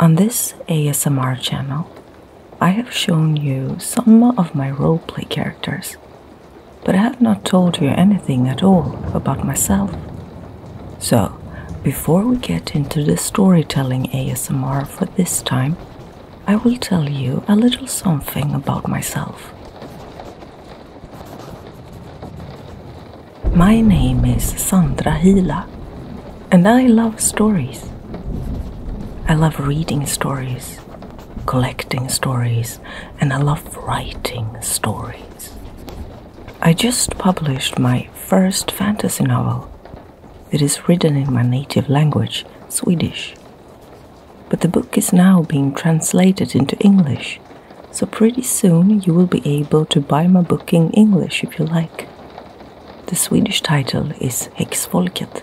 On this ASMR channel, I have shown you some of my roleplay characters, but I have not told you anything at all about myself. So, before we get into the storytelling ASMR for this time, I will tell you a little something about myself. My name is Sandra Hila, and I love stories. I love reading stories, collecting stories, and I love writing stories. I just published my first fantasy novel. It is written in my native language, Swedish. But the book is now being translated into English so, pretty soon you will be able to buy my book in English if you like. The Swedish title is Hexfolket.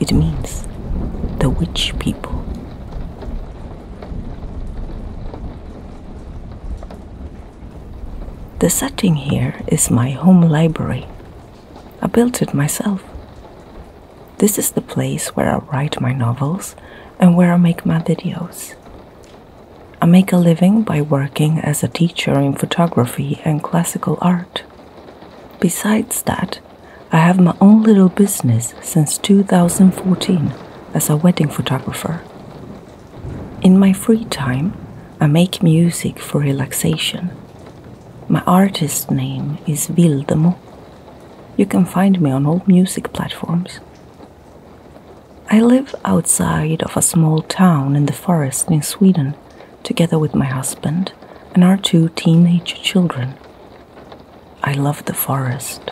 It means the witch people. The setting here is my home library. I built it myself. This is the place where I write my novels and where I make my videos. I make a living by working as a teacher in photography and classical art. Besides that, I have my own little business since 2014 as a wedding photographer. In my free time, I make music for relaxation. My artist name is Wildemo. You can find me on all music platforms, I live outside of a small town in the forest in Sweden, together with my husband and our two teenage children. I love the forest.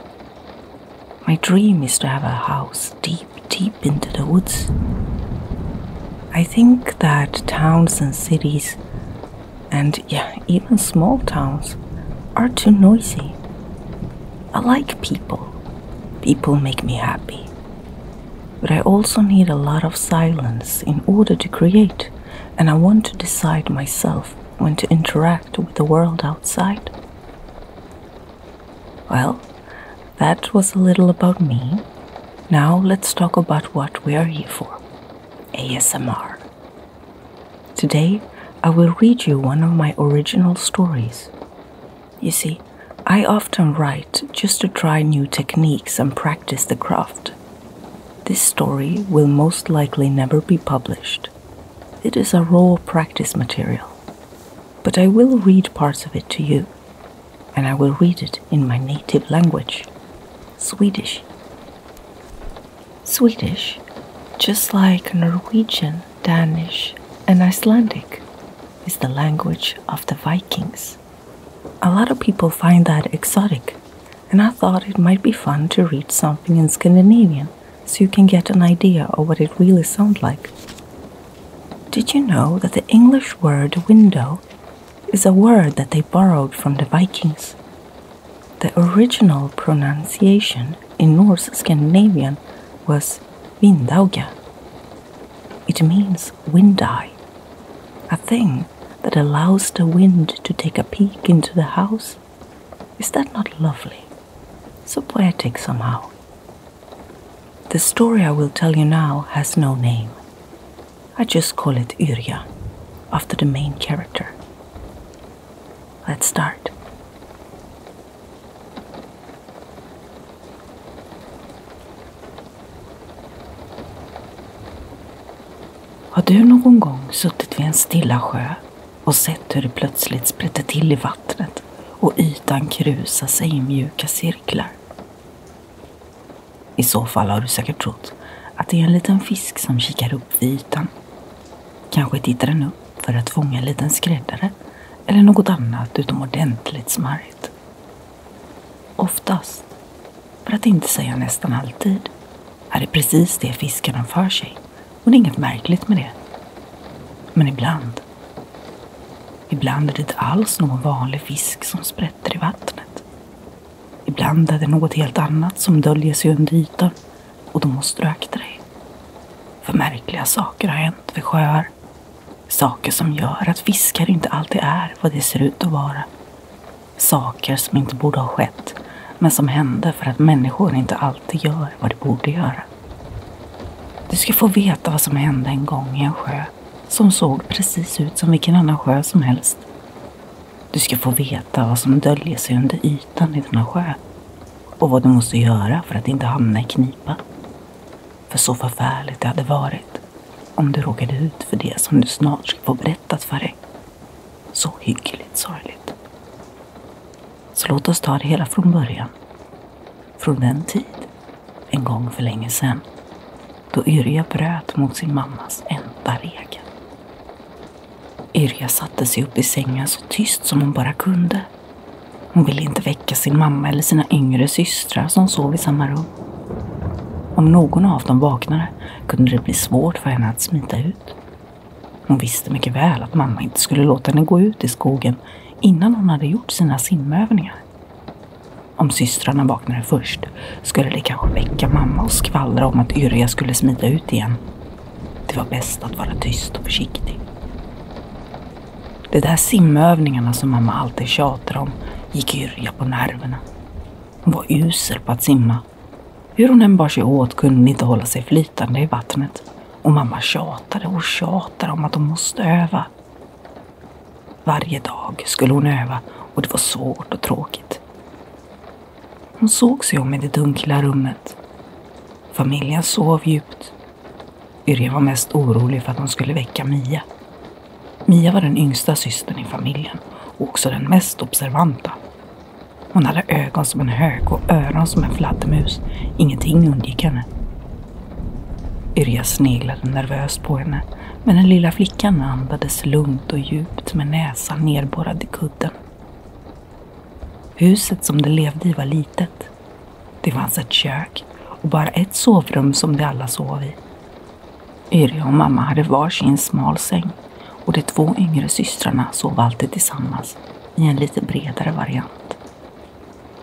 My dream is to have a house deep, deep into the woods. I think that towns and cities, and yeah, even small towns, are too noisy. I like people. People make me happy. But I also need a lot of silence in order to create, and I want to decide myself when to interact with the world outside. Well, that was a little about me. Now let's talk about what we are here for ASMR. Today, I will read you one of my original stories. You see, I often write just to try new techniques and practice the craft. This story will most likely never be published. It is a raw practice material. But I will read parts of it to you, and I will read it in my native language Swedish. Swedish, just like Norwegian, Danish, and Icelandic is the language of the Vikings. A lot of people find that exotic, and I thought it might be fun to read something in Scandinavian so you can get an idea of what it really sounds like. Did you know that the English word window is a word that they borrowed from the Vikings? The original pronunciation in Norse Scandinavian was Vindauga. It means wind eye, a thing that allows the wind to take a peek into the house. Is that not lovely? So poetic somehow. The story I will tell you now has no name. I just call it Uria, after the main character. Let's start. Har du någon gång suttit vid en stilla sjö och sett hur det plötsligt sprätter till i vattnet och ytan krusar sig i mjuka cirklar? I så fall har du säkert trott att det är en liten fisk som kikar upp vid ytan. Kanske tittar den upp för att fånga en liten skräddare eller något annat utomordentligt smarrigt. Oftast, för att inte säga nästan alltid, är det precis det fiskarna för sig och det är inget märkligt med det. Men ibland, ibland är det inte alls någon vanlig fisk som sprätter i vattnet. Ibland är det något helt annat som döljer sig under ytan och då måste du akta dig. För märkliga saker har hänt vid sjöar Saker som gör att fiskar inte alltid är vad de ser ut att vara. Saker som inte borde ha skett, men som hände för att människor inte alltid gör vad de borde göra. Du ska få veta vad som hände en gång i en sjö som såg precis ut som vilken annan sjö som helst. Du ska få veta vad som döljer sig under ytan i denna sjö och vad du måste göra för att inte hamna i knipa. För så förfärligt det hade varit om du råkade ut för det som du snart ska få berättat för dig. Så hyggligt sorgligt. Så låt oss ta det hela från början. Från den tid, en gång för länge sedan, då Yrja bröt mot sin mammas enda regel. Yrja satte sig upp i sängen så tyst som hon bara kunde hon ville inte väcka sin mamma eller sina yngre systrar som sov i samma rum. Om någon av dem vaknade kunde det bli svårt för henne att smita ut. Hon visste mycket väl att mamma inte skulle låta henne gå ut i skogen innan hon hade gjort sina simövningar. Om systrarna vaknade först skulle det kanske väcka mamma och skvallra om att Yrja skulle smita ut igen. Det var bäst att vara tyst och försiktig. De där simövningarna som mamma alltid tjatar om gick Yrja på nerverna. Hon var usel på att simma. Hur hon än bar sig åt kunde hon inte hålla sig flytande i vattnet. Och mamma tjatade och tjatade om att hon måste öva. Varje dag skulle hon öva och det var svårt och tråkigt. Hon såg sig om i det dunkla rummet. Familjen sov djupt Yrja var mest orolig för att hon skulle väcka Mia. Mia var den yngsta systern i familjen och också den mest observanta. Hon hade ögon som en hök och öron som en fladdermus. Ingenting undgick henne. Yrja sneglade nervöst på henne, men den lilla flickan andades lugnt och djupt med näsan nerborrad i kudden. Huset som de levde i var litet. Det fanns ett kök och bara ett sovrum som de alla sov i. Yrja och mamma hade varsin smal säng och de två yngre systrarna sov alltid tillsammans i en lite bredare variant.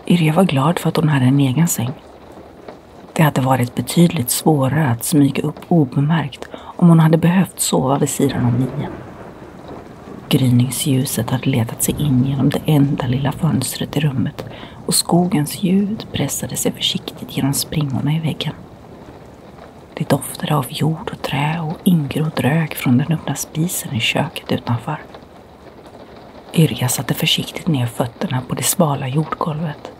Yrja var glad för att hon hade en egen säng. Det hade varit betydligt svårare att smyga upp obemärkt om hon hade behövt sova vid sidan om Mia. Gryningsljuset hade letat sig in genom det enda lilla fönstret i rummet och skogens ljud pressade sig försiktigt genom springorna i väggen. Det doftade av jord och trä och ingrodd rök från den öppna spisen i köket utanför. Yrja satte försiktigt ner fötterna på det svala jordgolvet.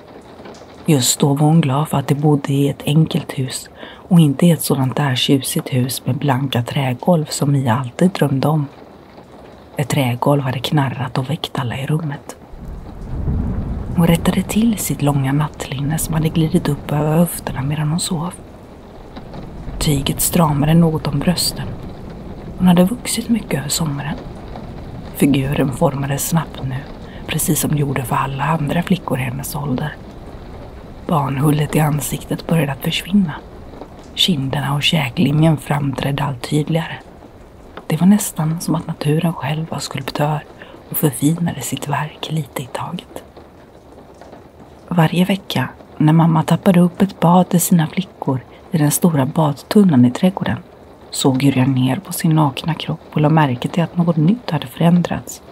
Just då var hon glad för att de bodde i ett enkelt hus och inte i ett sådant där tjusigt hus med blanka trägolv som Mia alltid drömde om. Ett trägolv hade knarrat och väckt alla i rummet. Hon rättade till sitt långa nattlinne som hade glidit upp över höfterna medan hon sov. Tyget stramade något om brösten. Hon hade vuxit mycket över sommaren. Figuren formades snabbt nu, precis som det gjorde för alla andra flickor i hennes ålder. Barnhullet i ansiktet började att försvinna Kinderna och käklinjen framträdde allt tydligare. Det var nästan som att naturen själv var skulptör och förfinade sitt verk lite i taget. Varje vecka när mamma tappade upp ett bad till sina flickor i den stora badtunnan i trädgården såg Yrjan ner på sin nakna kropp och lade märke till att något nytt hade förändrats.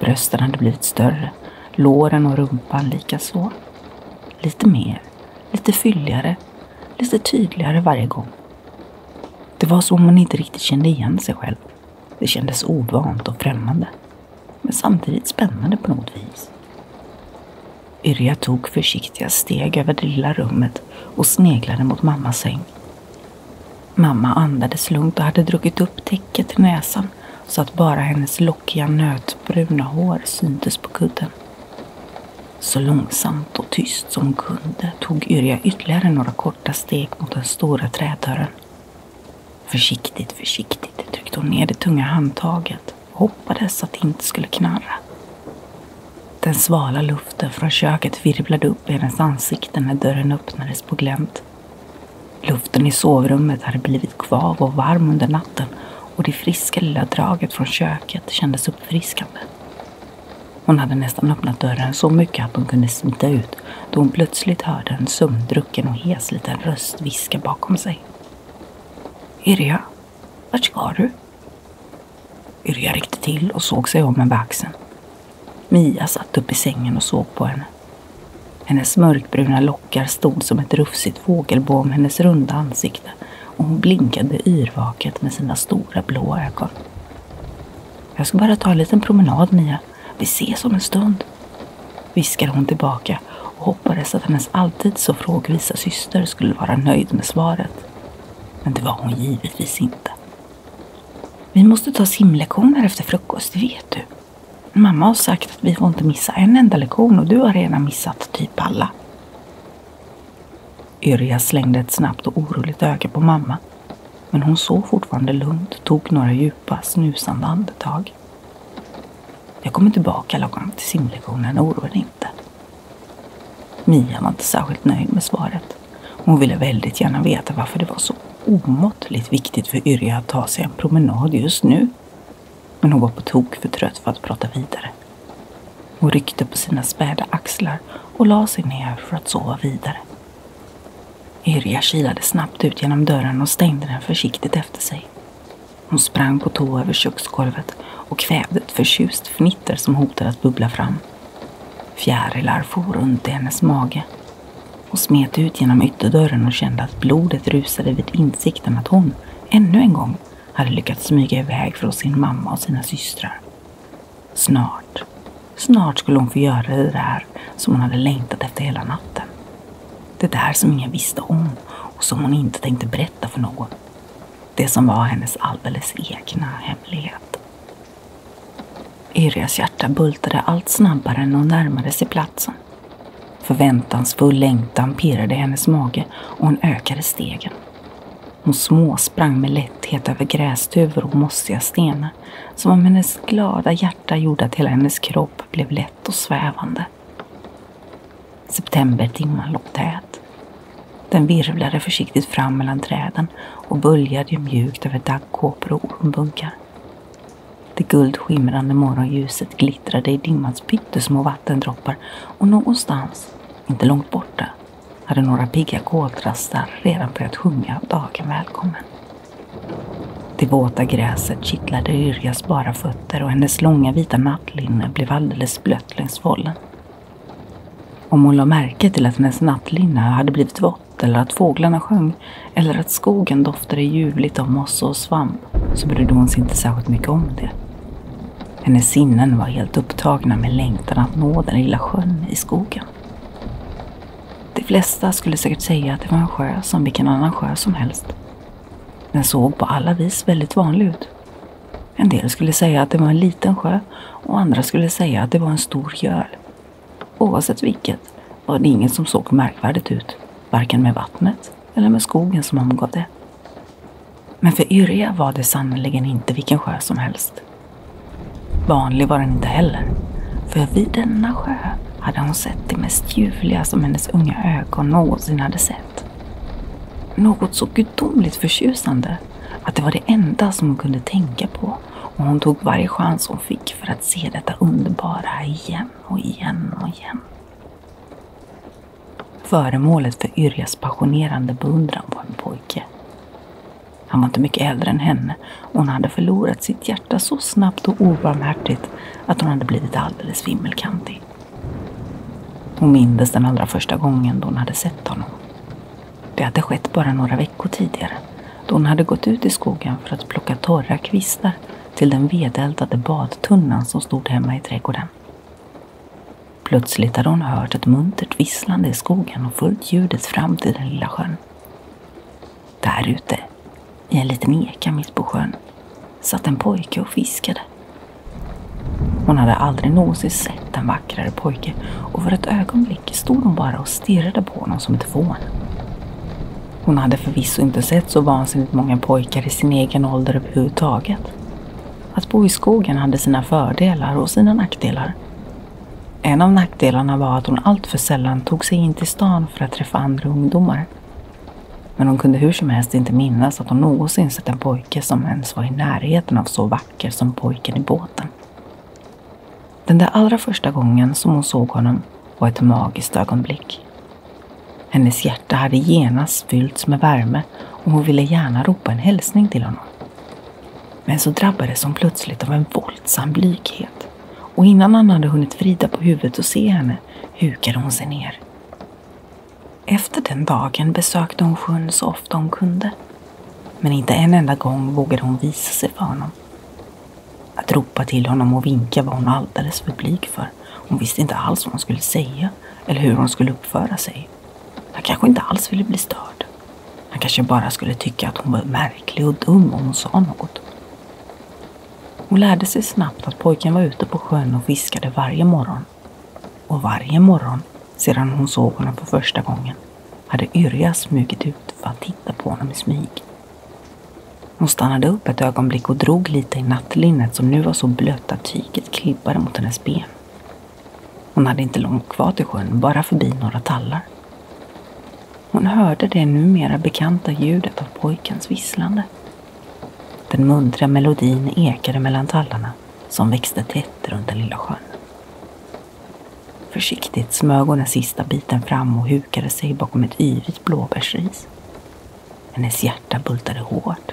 Brösten hade blivit större, låren och rumpan likaså. Lite mer Lite fylligare, lite tydligare varje gång. Det var som om man inte riktigt kände igen sig själv. Det kändes ovant och främmande. Men samtidigt spännande på något vis. Yrja tog försiktiga steg över det lilla rummet och sneglade mot mammas säng. Mamma andades lugnt och hade druckit upp täcket till näsan så att bara hennes lock lockiga nötbruna hår syntes på kudden. Så långsamt och tyst som hon kunde tog Yrja ytterligare några korta steg mot den stora trädörren. Försiktigt, försiktigt tryckte hon ner det tunga handtaget och hoppades att det inte skulle knarra. Den svala luften från köket virvlade upp i hennes ansikte när dörren öppnades på glänt. Luften i sovrummet hade blivit kvav och varm under natten och det friska lilla draget från köket kändes uppfriskande. Hon hade nästan öppnat dörren så mycket att hon kunde smita ut då hon plötsligt hörde en sömndrucken och hes liten röst viska bakom sig. Irja, vart ska du? Irja ryckte till och såg sig om över axeln. Mia satt upp i sängen och såg på henne. Hennes mörkbruna lockar stod som ett rufsigt fågelbo om hennes runda ansikte och hon blinkade yrvaket med sina stora blå ögon. Jag ska bara ta en liten promenad Mia. Vi ses om en stund. Viskade hon tillbaka och hoppades att hennes alltid så frågvisa syster skulle vara nöjd med svaret. Men det var hon givetvis inte. Vi måste ta simlektioner efter frukost, det vet du. Mamma har sagt att vi får inte missa en enda lektion och du har redan missat typ alla. Yrja slängde ett snabbt och oroligt öga på mamma. Men hon såg fortfarande lugnt, och tog några djupa, snusande andetag. Jag kommer tillbaka lagom till simlektionen, oroa dig inte. Mia var inte särskilt nöjd med svaret. Hon ville väldigt gärna veta varför det var så omåttligt viktigt för Yrja att ta sig en promenad just nu. Men hon var på tok för trött för att prata vidare. Hon ryckte på sina späda axlar och la sig ner för att sova vidare. Yrja kilade snabbt ut genom dörren och stängde den försiktigt efter sig. Hon sprang på tå över köksgolvet och kvävde ett förtjust fnitter som hotade att bubbla fram. Fjärilar for runt i hennes mage. Hon smet ut genom ytterdörren och kände att blodet rusade vid insikten att hon, ännu en gång, hade lyckats smyga iväg från sin mamma och sina systrar. Snart, snart skulle hon få göra det där som hon hade längtat efter hela natten. Det där som ingen visste om och som hon inte tänkte berätta för någon. Det som var hennes alldeles egna hemlighet. Irias hjärta bultade allt snabbare när hon närmade sig platsen. Förväntansfull längtan pirrade i hennes mage och hon ökade stegen. Hon småsprang med lätthet över grästuvor och mossiga stenar som om hennes glada hjärta gjorde att hela hennes kropp blev lätt och svävande. Septembertimman låg tät. Den virvlade försiktigt fram mellan träden och böljade mjukt över daggkåpor och ormbunkar. Det guldskimrande morgonljuset glittrade i dimmans pyttesmå vattendroppar och någonstans, inte långt borta, hade några pigga koltrastar redan börjat sjunga dagen välkommen. Det våta gräset kittlade Yrjas bara fötter och hennes långa vita nattlinne blev alldeles blött längs vollen. Om hon lade märke till att hennes nattlinne hade blivit vått eller att fåglarna sjöng eller att skogen doftade ljuvligt av mossa och svamp så brydde hon sig inte särskilt mycket om det. Hennes sinnen var helt upptagna med längtan att nå den lilla sjön i skogen. De flesta skulle säkert säga att det var en sjö som vilken annan sjö som helst. Den såg på alla vis väldigt vanlig ut. En del skulle säga att det var en liten sjö och andra skulle säga att det var en stor göl. Oavsett vilket var det inget som såg märkvärdigt ut, varken med vattnet eller med skogen som omgav det. Men för Yrja var det sannerligen inte vilken sjö som helst. Vanlig var den inte heller, för vid denna sjö hade hon sett det mest ljuvliga som hennes unga ögon någonsin hade sett. Något så gudomligt förtjusande att det var det enda som hon kunde tänka på och hon tog varje chans hon fick för att se detta underbara igen och igen och igen. Föremålet för Yrjas passionerande beundran var en pojke. Han var inte mycket äldre än henne och hon hade förlorat sitt hjärta så snabbt och obarmhärtigt att hon hade blivit alldeles vimmelkantig. Hon mindes den allra första gången då hon hade sett honom. Det hade skett bara några veckor tidigare då hon hade gått ut i skogen för att plocka torra kvistar till den vedeldade badtunnan som stod hemma i trädgården. Plötsligt hade hon hört ett muntert visslande i skogen och följt ljudet fram till den lilla sjön. Där ute, i en liten eka mitt på sjön, satt en pojke och fiskade. Hon hade aldrig någonsin sett en vackrare pojke och för ett ögonblick stod hon bara och stirrade på honom som ett fån. Hon hade förvisso inte sett så vansinnigt många pojkar i sin egen ålder överhuvudtaget. Att bo i skogen hade sina fördelar och sina nackdelar. En av nackdelarna var att hon alltför sällan tog sig in till stan för att träffa andra ungdomar. Men hon kunde hur som helst inte minnas att hon någonsin sett en pojke som ens var i närheten av så vacker som pojken i båten. Den där allra första gången som hon såg honom var ett magiskt ögonblick. Hennes hjärta hjärta hade genast fyllts med värme och hon ville gärna ropa en hälsning till honom. Men så drabbades hon plötsligt av en våldsam blyghet och innan han hade hunnit vrida på huvudet och se henne hukade hon sig ner. Efter den dagen besökte hon sjön så ofta hon kunde. Men inte en enda gång vågade hon visa sig för honom. Att ropa till honom och vinka var hon alldeles för blyg för. Hon visste inte alls vad hon skulle säga eller hur hon skulle uppföra sig. Han kanske inte alls ville bli störd. Han kanske bara skulle tycka att hon var märklig och dum om hon sa något. Hon lärde sig snabbt att pojken var ute på sjön och fiskade varje morgon. Och varje morgon, sedan hon såg honom för första gången, hade Yrja smugit ut för att titta på honom i smyg. Hon stannade upp ett ögonblick och drog lite i nattlinnet som nu var så blött att tyget klibbade mot hennes ben. Hon hade inte långt kvar till sjön, bara förbi några tallar. Hon hörde det numera bekanta ljudet av pojkens visslande. Den muntra melodin ekade mellan tallarna som växte tätt runt den lilla sjön. Försiktigt smög hon den sista biten fram och hukade sig bakom ett yvigt blåbärsris. Hennes hjärta hjärta bultade hårt.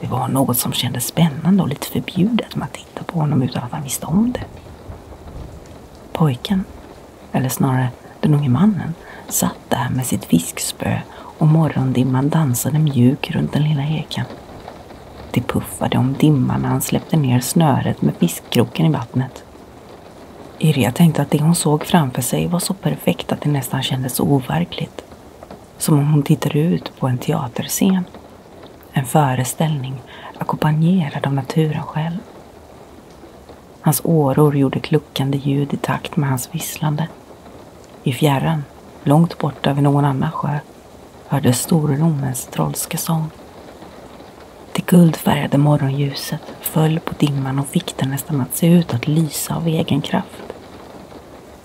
Det var något som kändes spännande och lite förbjudet med att titta på honom utan att han visste om det. Pojken, eller snarare den unge mannen, satt där med sitt fiskspö och morgondimman dansade mjuk runt den lilla eken. Det puffade om dimman när han släppte ner snöret med fiskkroken i vattnet. Irja tänkte att det hon såg framför sig var så perfekt att det nästan kändes overkligt. Som om hon tittade ut på en teaterscen. En föreställning ackompanjerad av naturen själv. Hans åror gjorde kluckande ljud i takt med hans visslande. I fjärran, långt borta vid någon annan sjö, hördes Storlommens trollska sång. Det guldfärgade morgonljuset föll på dimman och fick den nästan att se ut att lysa av egen kraft.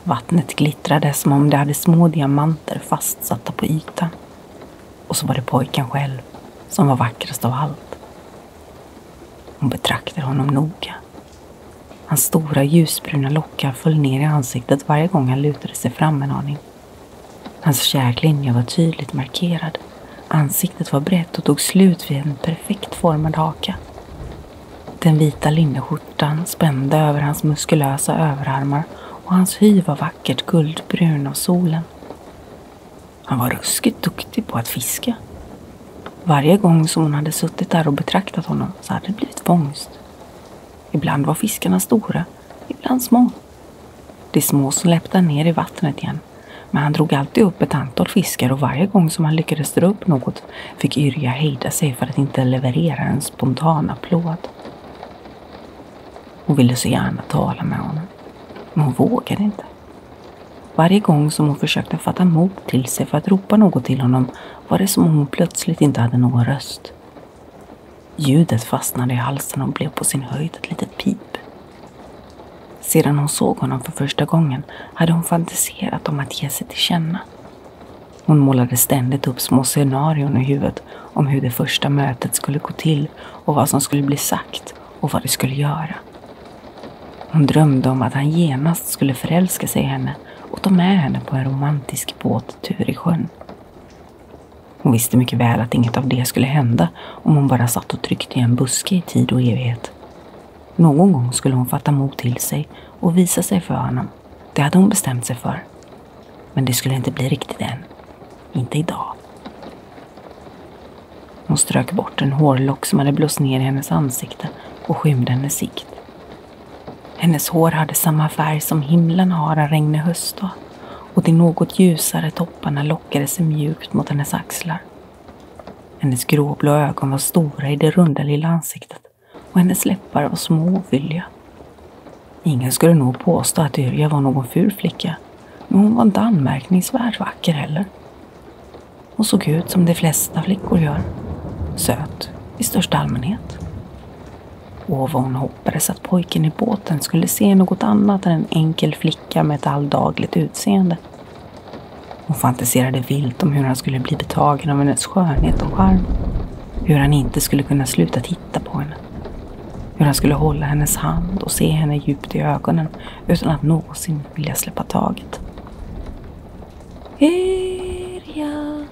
Vattnet glittrade som om det hade små diamanter fastsatta på ytan. Och så var det pojken själv som var vackrast av allt. Hon betraktade honom noga. Hans stora ljusbruna lockar föll ner i ansiktet varje gång han lutade sig fram en aning. Hans käklinje var tydligt markerad. Ansiktet var brett och tog slut vid en perfekt formad haka. Den vita linneskjortan spände över hans muskulösa överarmar och hans hy var vackert guldbrun av solen. Han var ruskigt duktig på att fiska. Varje gång som hon hade suttit där och betraktat honom så hade det blivit fångst. Ibland var fiskarna stora, ibland små. De små släppte han ner i vattnet igen, men han drog alltid upp ett antal fiskar och varje gång som han lyckades dra upp något applåd fick Yrja hejda sig för att inte leverera en spontan applåd. Hon ville så gärna tala med honom, men hon vågade inte. Varje gång som hon försökte fatta mod till sig för att ropa något till honom var det som om hon plötsligt inte hade någon röst. Ljudet fastnade i halsen och blev på sin höjd ett litet pip. Sedan hon såg honom för första gången hade hon fantiserat om att ge sig till känna. Hon målade ständigt upp små scenarion i huvudet om hur det första mötet skulle gå till och vad som skulle bli sagt och vad det skulle göra. Hon drömde om att han genast skulle förälska sig i henne och ta med henne på en romantisk båttur i sjön. Hon visste mycket väl att inget av det skulle hända om hon bara satt och tryckte i en buske i tid och evighet. Någon gång skulle hon fatta mod till sig och visa sig för honom det hade hon bestämt sig för. Men det skulle inte bli riktigt än. Inte idag. Hon strök bort en hårlock som hade blåst ner i hennes ansikte och skymde hennes sikt. Hennes hår hade samma färg som himlen har en regnig höstdag och de något ljusare topparna lockade sig mjukt mot hennes axlar. Hennes gråblå ögon var stora i det runda lilla ansiktet och hennes läppar var små och fylliga. Ingen skulle nog påstå att Yrja var någon ful flicka, men hon var inte anmärkningsvärt vacker heller. Hon såg ut som de flesta flickor gör. Söt i största allmänhet. Och vad hon hoppades att pojken i båten skulle se något annat än en enkel flicka med ett alldagligt utseende. Hon fantiserade vilt om hur han skulle bli betagen av hennes skönhet och charm hur han inte skulle kunna sluta titta på henne. Hur han skulle hålla hennes hand och se henne djupt i ögonen utan att någonsin vilja släppa taget. Erja!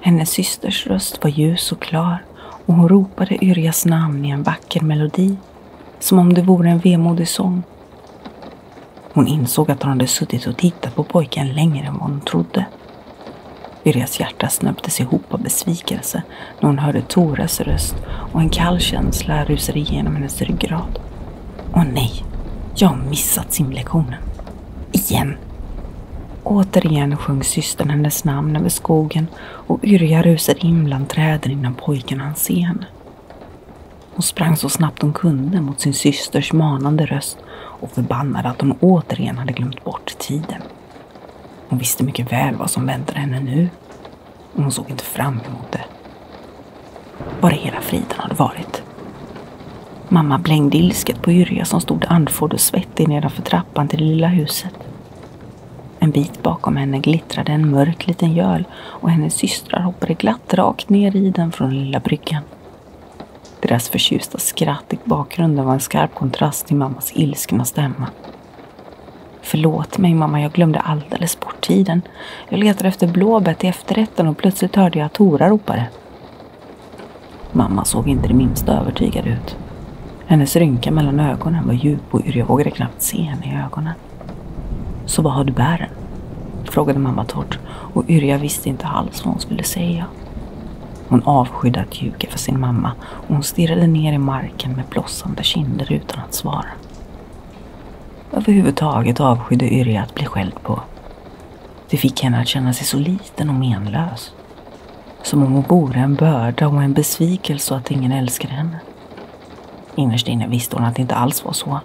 Hennes systers röst var ljus och klar och hon ropade Yrjas namn i en vacker melodi, som om det vore en vemodig sång. Hon insåg att hon hade suttit och tittat på pojken längre än vad hon trodde. Yrjas hjärta snöptes ihop av besvikelse när hon hörde Toras röst och en kall känsla rusade igenom hennes ryggrad. Åh nej, jag har missat simlektionen. Igen! Återigen sjöng systern hennes namn över skogen och Yrja rusade in bland träden innan pojken hann se henne. Hon sprang så snabbt hon kunde mot sin systers manande röst och förbannade att hon återigen hade glömt bort tiden. Hon visste mycket väl vad som väntade henne nu och hon såg inte fram emot det. Var hela friden hade varit. Mamma blängde ilsket på Yrja som stod andfådd och svettig nedanför trappan till det lilla huset. En bit bakom henne glittrade en mörk liten göl och hennes systrar hoppade glatt rakt ner i den från lilla bryggan. Deras förtjusta skratt i bakgrunden var en skarp kontrast till mammas ilskna stämma. Förlåt mig mamma, jag glömde alldeles bort tiden. Jag letade efter blåbär till efterrätten och plötsligt hörde jag att Tora ropade. Mamma såg inte det minsta övertygad ut. Hennes rynka mellan ögonen var djup och jag vågade knappt se henne i ögonen. Så vad har du bären? Frågade mamma torrt och Yrja visste inte alls vad hon skulle säga början. Hon avskydde att ljuga för sin mamma och hon stirrade ner i marken med blossande kinder utan att svara. Överhuvudtaget avskydde Yrja att bli skälld på. Det fick henne att känna sig så liten och menlös. Som om hon vore en börda och en besvikelse och att ingen älskade henne. Innerst inne visste hon att det inte alls var så.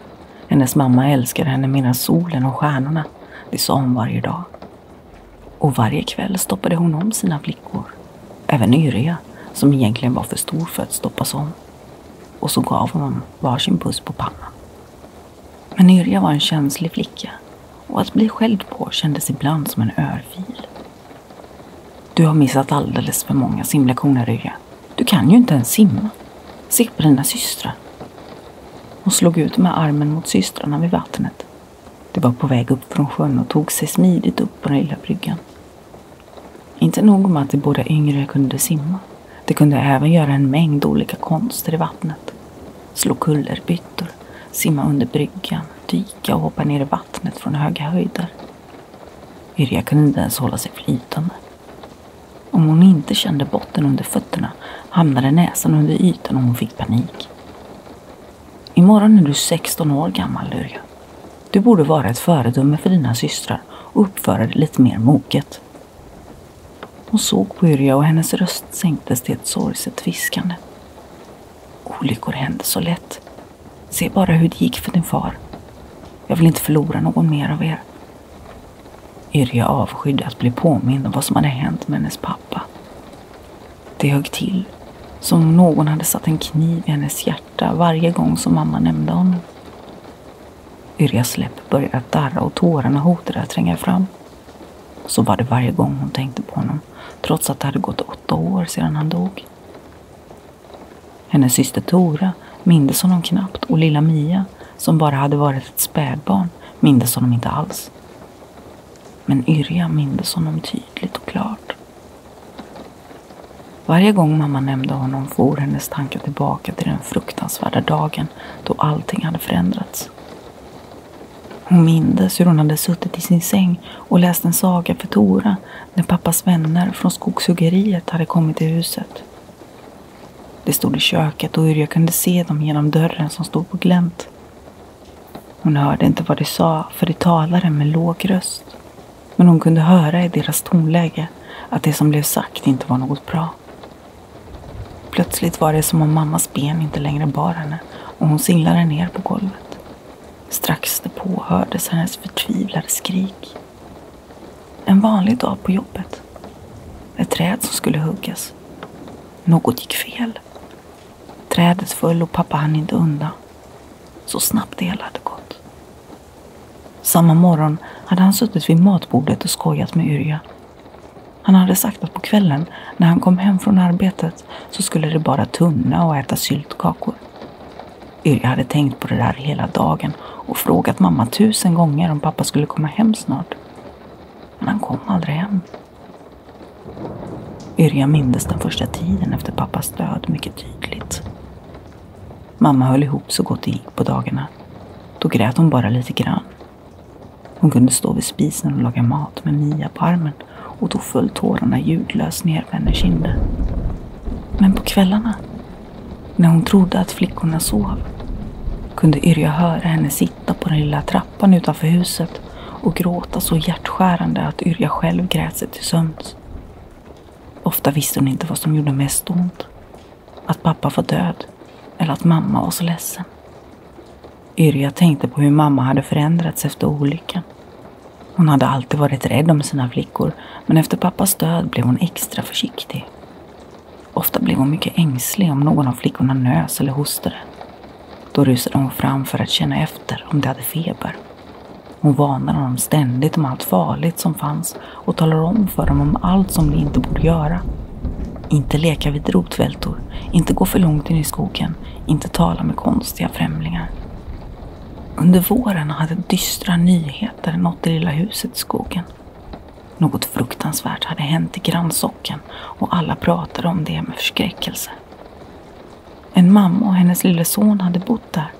Hennes mamma älskade henne medan solen och stjärnorna det sa hon varje dag. Och varje kväll stoppade hon om sina flickor. Även Yrja, som egentligen var för stor för att stoppas om. Och så gav hon varsin puss på pannan. Men Yrja var en känslig flicka och att bli skälld på kändes ibland som en örfil. Du har missat alldeles för många simlektioner, Yrja. Du kan ju inte ens simma. Se på dina systrar. Hon slog ut med armen mot systrarna vid vattnet. De var på väg upp från sjön och tog sig smidigt upp på den lilla bryggan. Inte nog med att de båda yngre kunde simma. De kunde även göra en mängd olika konster i vattnet. Slå kullerbyttor, simma under bryggan, dyka och hoppa ner i vattnet från höga höjder. Irja kunde inte ens hålla sig flytande. Om hon inte kände botten under fötterna hamnade näsan under ytan och hon fick panik. Imorgon är du 16 år gammal, Lurja. Du borde vara ett föredöme för dina systrar och uppföra dig lite mer moget. Hon såg på Yrja och hennes röst sänktes till ett sorgset viskande. Olyckor händer så lätt. Se bara hur det gick för din far. Jag vill inte förlora någon mer av er. Yrja avskydde att bli påmind om vad som hade hänt med hennes pappa. Det högg till, som om någon hade satt en kniv i hennes hjärta varje gång som mamma nämnde honom. Yrjas läpp började att darra och tårarna hotade att tränga fram. Så var det varje gång hon tänkte på honom, trots att det hade gått åtta år sedan han dog. Hennes syster Tora mindes honom knappt och lilla Mia, som bara hade varit ett spädbarn, mindes honom inte alls. Men Yrja mindes honom tydligt och klart. Varje gång mamma nämnde honom for hennes tankar tillbaka till den fruktansvärda dagen då allting hade förändrats. Hon mindes hur hon hade suttit i sin säng och läst en saga för Tora när pappas vänner från skogshuggeriet hade kommit till huset. Det stod i köket och hur jag kunde se dem genom dörren som stod på glänt. Hon hörde inte vad de sa, för de talade med låg röst. Men hon kunde höra i deras tonläge att det som blev sagt inte var något bra. Plötsligt var det som om mammas ben inte längre bar henne och hon singlade ner på golvet. Strax därpå hördes hennes förtvivlade skrik. En vanlig dag på jobbet. Ett träd som skulle huggas. Något gick fel. Trädet föll och pappa hann inte undan. Så snabbt det hela hade gått. Samma morgon hade han suttit vid matbordet och skojat med Yrja. Han hade sagt att på kvällen, när han kom hem från arbetet, så skulle det bara tunna och äta syltkakor. Yrja hade tänkt på det där hela dagen och frågat mamma tusen gånger om pappa skulle komma hem snart. Men han kom aldrig hem. Yrja mindes den första tiden efter pappas död mycket tydligt. Mamma höll ihop så gott det gick på dagarna. Då grät hon bara lite grann. Hon kunde stå vid spisen och laga mat med Mia på armen och då föll tårarna ljudlöst ner på hennes kinder. Men på kvällarna, när hon trodde att flickorna sov, kunde Yrja höra henne sitta på den lilla trappan trappan utanför huset och gråta så hjärtskärande att Yrja själv grät sig till sömns. Ofta visste hon inte vad som gjorde mest ont. Att pappa var död eller att mamma var så ledsen. Yrja tänkte på hur mamma hade förändrats efter olyckan. Hon hade alltid varit rädd om sina flickor men efter pappas död blev hon extra försiktig. Ofta blev hon mycket ängslig om någon av flickorna nös eller hostade. Då rusade hon fram för att känna efter om de hade feber. Hon varnade dem ständigt om allt farligt som fanns och talade om för dem om allt som de inte borde göra. Inte leka vid rotvältor, inte gå för långt in i skogen, inte tala med konstiga främlingar. Under våren hade dystra nyheter nått det lilla huset i skogen. Något fruktansvärt hade hänt i grannsocknen chocken och alla pratade om det med förskräckelse. En mamma och hennes lille son hade bott där.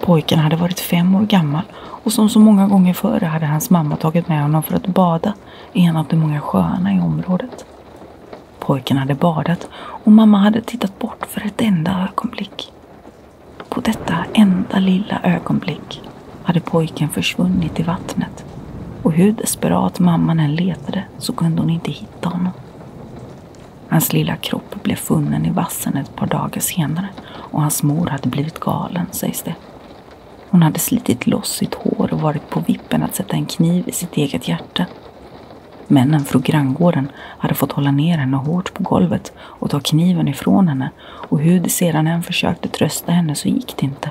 Pojken hade varit fem år gammal och som så många gånger förr hade hans mamma tagit med honom för att bada i en av de många sjöarna i området. Pojken hade badat och mamma hade tittat bort för ett enda ögonblick. På detta enda lilla ögonblick hade pojken försvunnit i vattnet och hur desperat mamman än letade så kunde hon inte hitta honom. Hans lilla kropp blev funnen i vassen ett par dagar senare och hans mor hade blivit galen, sägs det. Hon hade slitit loss sitt hår och varit på vippen att sätta en kniv i sitt eget hjärta. Männen från granngården hade fått hålla ner henne hårt på golvet och ta kniven ifrån henne och hur de sedan än försökte trösta henne så gick det inte.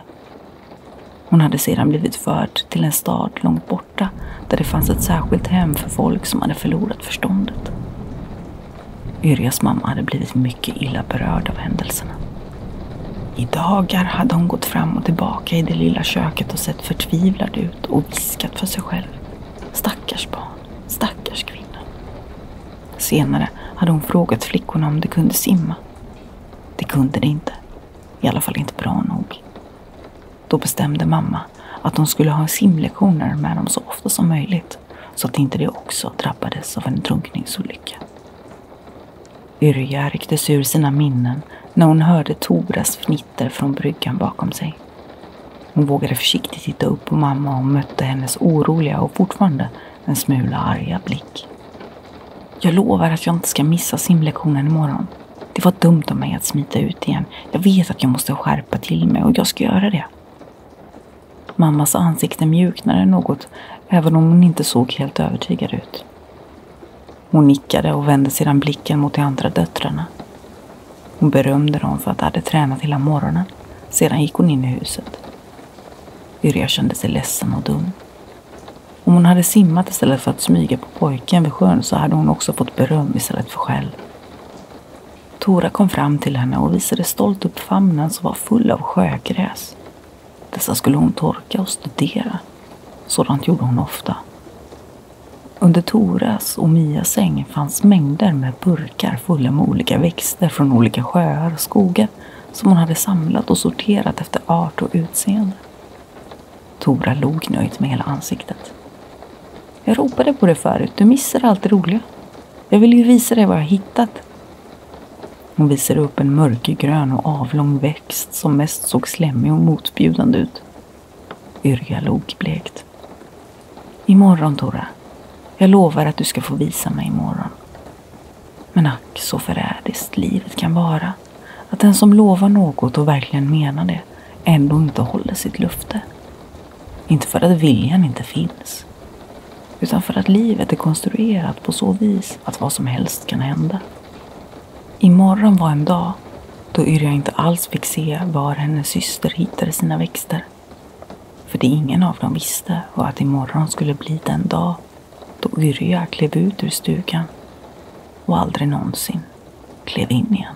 Hon hade sedan blivit förd till en stad långt borta där det fanns ett särskilt hem för folk som hade förlorat förståndet. Yrjas mamma hade blivit mycket illa berörd av händelserna. I dagar hade hon gått fram och tillbaka i det lilla köket och sett förtvivlad ut och viskat för sig själv. Stackars barn, stackars kvinna. Senare hade hon frågat flickorna om de kunde simma. Det kunde de inte. I alla fall inte bra nog. Då bestämde mamma att de skulle ha simlektioner med dem så ofta som möjligt så att inte de också drabbades av en drunkningsolycka. Yrja rycktes ur sina minnen när hon hörde Toras fnitter från bryggan bakom sig. Hon vågade försiktigt titta upp på mamma och mötte hennes oroliga och fortfarande en smula arga blick. Jag lovar att jag inte ska missa simlektionen imorgon. Det var dumt av mig att smita ut igen. Jag vet att jag måste skärpa till mig och jag ska göra det. Mammas ansikte mjuknade något, även om hon inte såg helt övertygad ut. Hon nickade och vände sedan blicken mot de andra döttrarna. Hon berömde dem för att de hade tränat hela morgonen. Sedan gick hon in i huset. Yrja kände sig ledsen och dum. Om hon hade simmat istället för att smyga på pojken vid sjön så hade hon också fått beröm istället för skäll. Tora kom fram till henne och visade stolt upp famnen som var full av sjögräs. Dessa skulle hon torka och studera. Sådant gjorde hon ofta. Under Toras och Mias säng fanns mängder med burkar fulla med olika växter från olika sjöar och skogar som hon hade samlat och sorterat efter art och utseende. Tora log nöjt med hela ansiktet. Jag ropade på dig förut, du missar allt det roliga. Jag vill ju visa dig vad jag hittat. Hon visade upp en mörkgrön och avlång växt som mest såg slemmig och motbjudande ut. Yrja log blekt. Imorgon, Tora. Jag lovar att du ska få visa mig imorgon. Men ack så förrädiskt livet kan vara. Att den som lovar något och verkligen menar det ändå inte håller sitt löfte. Inte för att viljan inte finns. Utan för att livet är konstruerat på så vis att vad som helst kan hända. Imorgon var en dag då Yrja inte alls fick se var hennes syster hittade sina växter. För det ingen av dem visste var att imorgon skulle bli den dag då Yrja klev ut ur stugan och aldrig någonsin klev in igen.